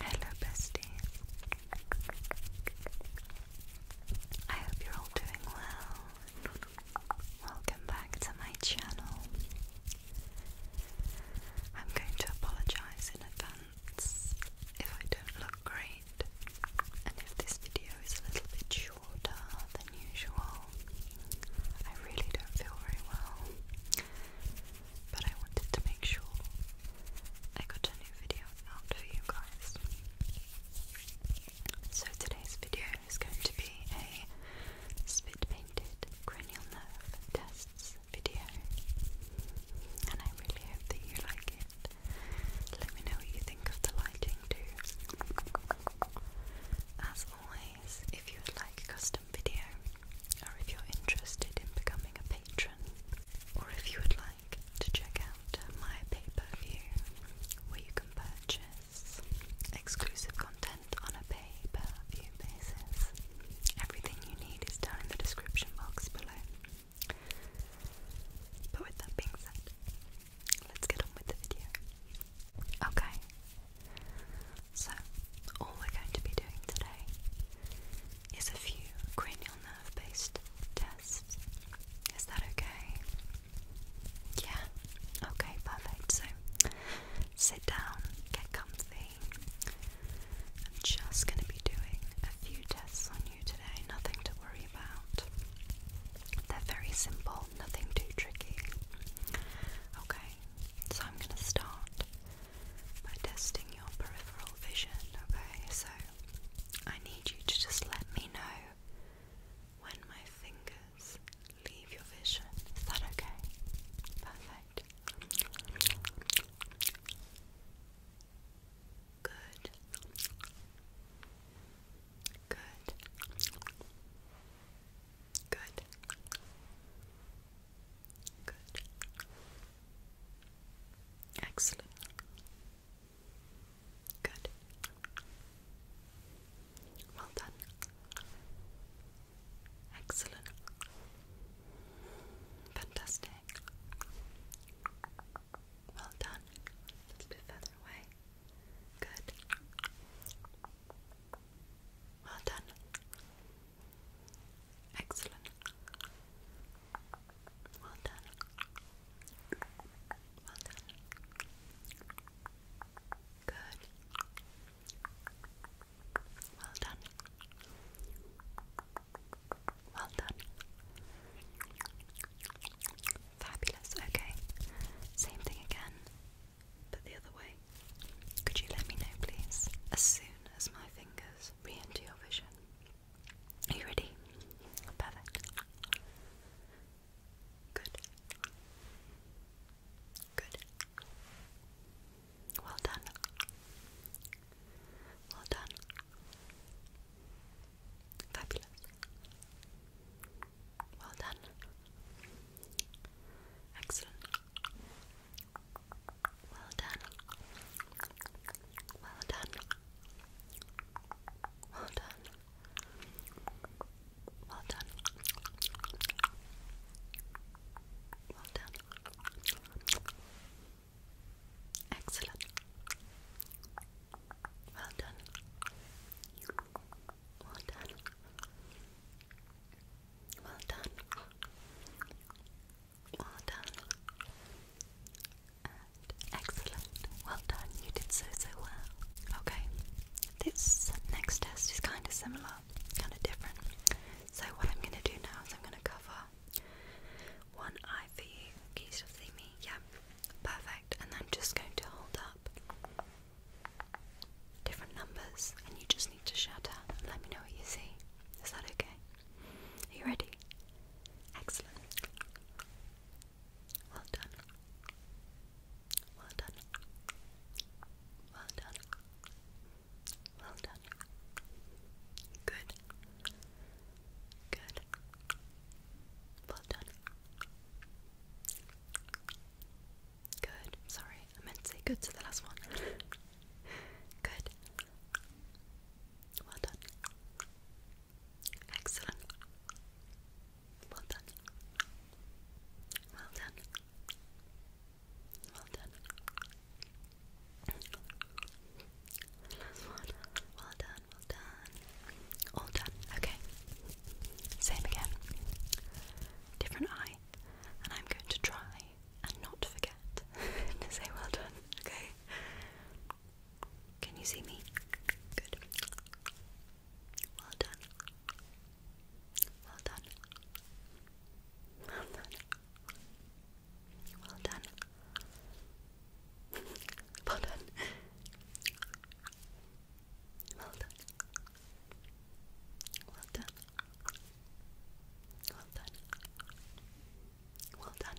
Hello, besties. I hope you're all doing well. Welcome back to my channel. I'm going to apologize in advance if I don't look great and if this video is a little bit shorter than unusual. I really don't feel very well, but I wanted to make sure I got a new video out for you guys. So today's video is going to be a spit painted cranial nerve tests video, and I really hope that you like it. Let me know what you think of the lighting too. As always, if you would like customized custom video, or if you're interested in becoming a patron, or if you would like to check out my pay-per-view, where you can purchase exclusive content on a pay-per-view basis. Everything you need is down in the description box below. But with that being said, let's get on with the video. Okay, so, all we're going to be doing today is a few cranial nerve based tests. Is that okay? Yeah? Okay, perfect. So, sit down, get comfy. I'm just going to be doing a few tests on you today, nothing to worry about. They're very simple, nothing too tricky. Okay, so I'm going to start by testing your peripheral vision. Okay, so I need you to just let me know when my fingers leave your vision. Is that okay? Perfect. Good. Good. Good. Good. Excellent. Good. Well done. Excellent. Fantastic. Well done. A little bit further away. Good. Well done. Excellent. Well done. Well done. Good. Well done. Well done. Fabulous, okay. Same thing again, but the other way. Could you let me know, please, as soon as my fingers re enter your vision? Are you ready? Perfect. Good. Good. Well done. Well done. Fabulous. Well done. Excellent. Well done. Well done. Well done. Well done. Well done. Excellent. Well done. Well done. Well done. Well done. excellent. Well done. You did so, so well. Okay. This next test is kind of similar, kind of different. So, what I'm going to do now is I'm going to cover one eye for you. Can you still see me? Yeah. Perfect. And I'm just going to hold up different numbers and you just need to shout out let me know what you see. Is that okay? Are you ready? Excellent. Well done. Well done. Well done. Well done. Good. Good. Well done. Good. Sorry, I meant to say good to the last one. good. Well done. Excellent. Well done. Well done. Well done. Last one. Well done done. All done. Okay. Same again. Different eye. And I'm going to try and not forget to say well done. Okay. Can you see me? Good. Well done. Well done. Well done. Well done well done. Well done. Well done. Well done. Well done.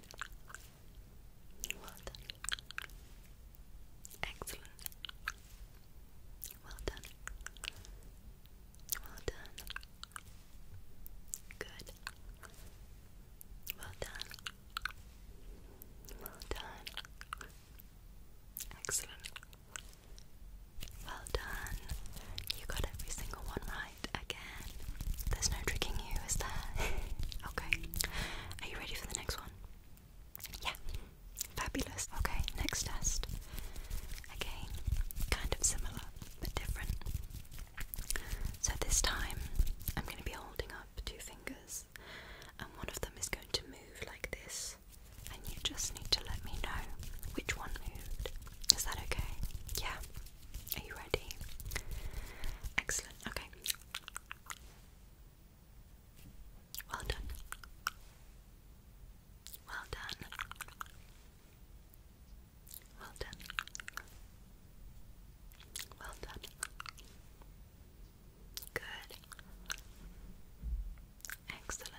Well done. Excellent. Well done. Well done. Good. Well done. Well done. Excellent. Well done. You got every single one right again. There's no tricking you, is there? okay. Are you ready for the next one? Yeah. Fabulous. Okay, next test. Again, kind of similar but different. So this time I'm going to be holding two fingers, and one of them is going to move like this, and you just need to let me know which one moved. Is that okay? Yeah. Are you ready? Excellent. Okay. Well done. Well done. Well done. Well done. Good. Excellent.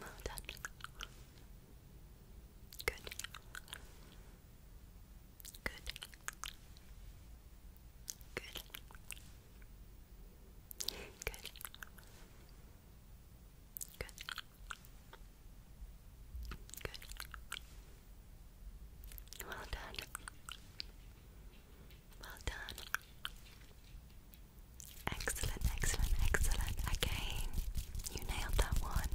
Well done. Good. Good. Good. Good. Good. Good. Well done. Well done. Excellent, excellent, excellent. Again, you nailed that one.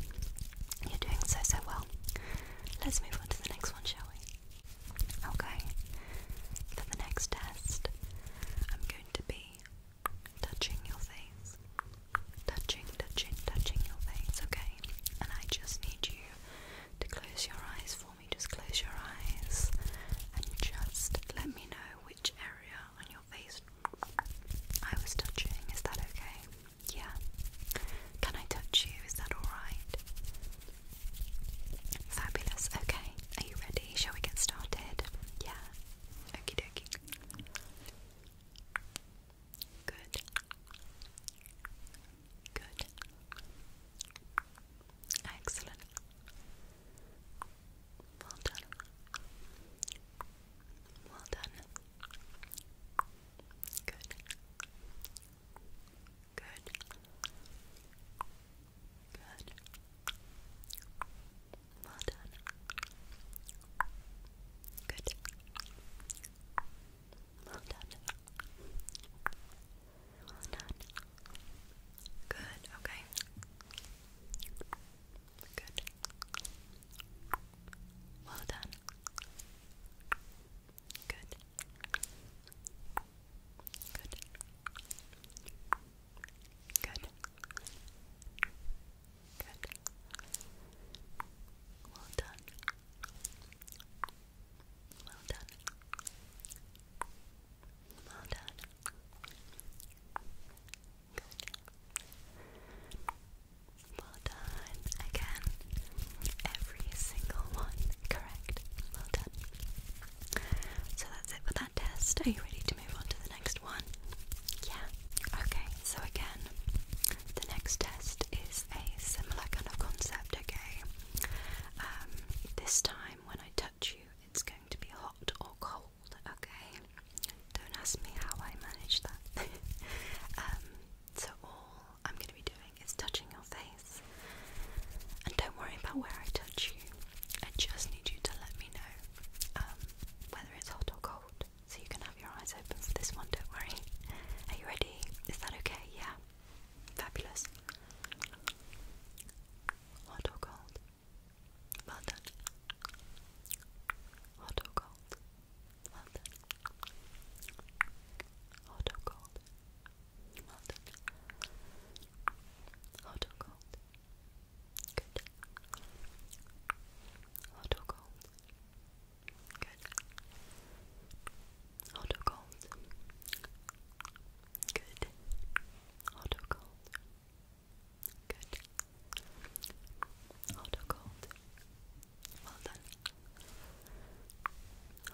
You're doing so, so well. Let's move on to the next one, shall we? Okay. For the next test, I'm going to be touching your face touching, touching, touching your face, okay? And I just need you to close your eyes for me. Just close your eyes and just let me know which area on your face I was touching. Is that okay? Yeah. Can I touch you? Is that alright? Fabulous. Okay. Are you ready? Shall we get started? Yeah. Okie dokie. Good. Good. Excellent. Well done. Well done. Good. Good. Good. Well done. Good. Well done. Well done. Good, okay. Good. Well done. Good. Good. Good. Good. Well done. Well done. Well done. Good. Well done. Again, every single one correct. Well done. So that's it for that test. Are you ready to move on to the next one? Yeah. Okay, so again, the next test is a similar kind of concept, okay? Um, this time when I touch you, it's going to be hot or cold, okay? Don't ask me how I manage that. Um, so all I'm going to be doing is touching your face. And don't worry about where I touch you. I just need you to let me know um, whether it's hot or cold so you can have your eyes open for this one, don't worry. Are you ready? Is that okay? Yeah. Fabulous. Hot or cold? Well Hot or cold? Well Hot or cold? Well Hot or cold? Good. Auto cold. Good. Auto cold. Good. Auto cold. Good. Auto cold. Well done.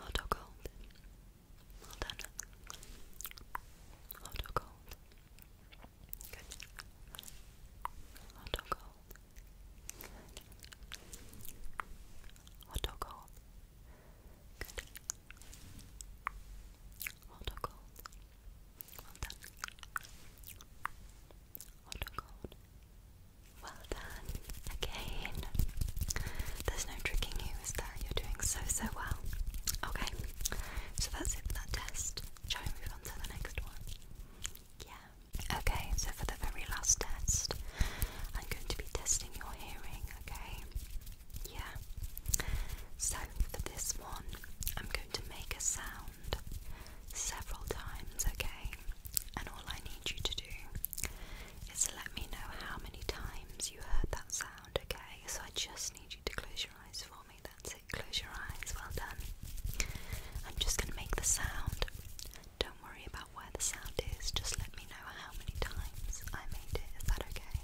Auto cold. Well done. Auto cold. Good. Hot or cold? Good. Good. Hot or Well done. Hot or Well done. Again. There's no tricking you, is there? You're doing so, so well. Okay. So that's it for that test. Shall we move on to the next one? Yeah. Okay, so for the very last test, I'm going to be testing your hearing, okay? Yeah. So for this one, I'm going to make a sound several times, okay? And all I need you to do is let me know how many times you heard that sound, okay? So I just need you to close your eyes for that's it. Close your eyes. Well done. I'm just going to make the sound. Don't worry about where the sound is. Just let me know how many times I made it. Is that okay?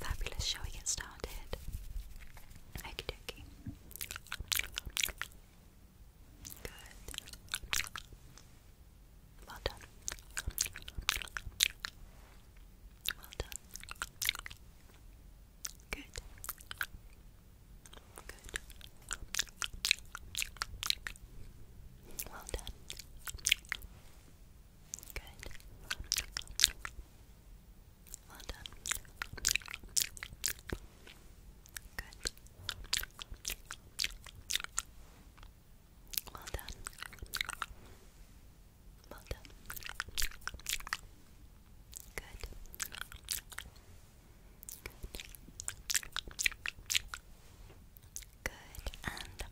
Fabulous. Shall we get started? Okie dokie. Good. Well done. Well done. Good. Good. Well done. Good. Well done. Good. Well done. Well done. Good. Good. And good.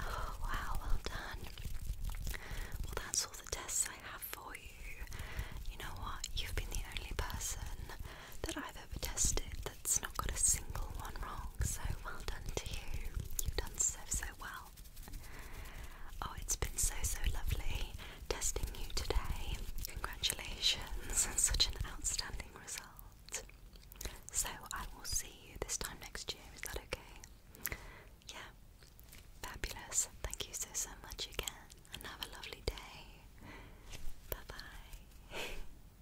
Oh wow, well done. Well, that's all the tests I have for you. You know what? You've been the only person that I've i that's not got a single one wrong, so well done to you. You've done so, so well. Oh, it's been so, so lovely testing you today. Congratulations such an outstanding result. So, I will see you this time next year, is that okay? Yeah, fabulous. Thank you so, so much again, and have a lovely day. Bye bye.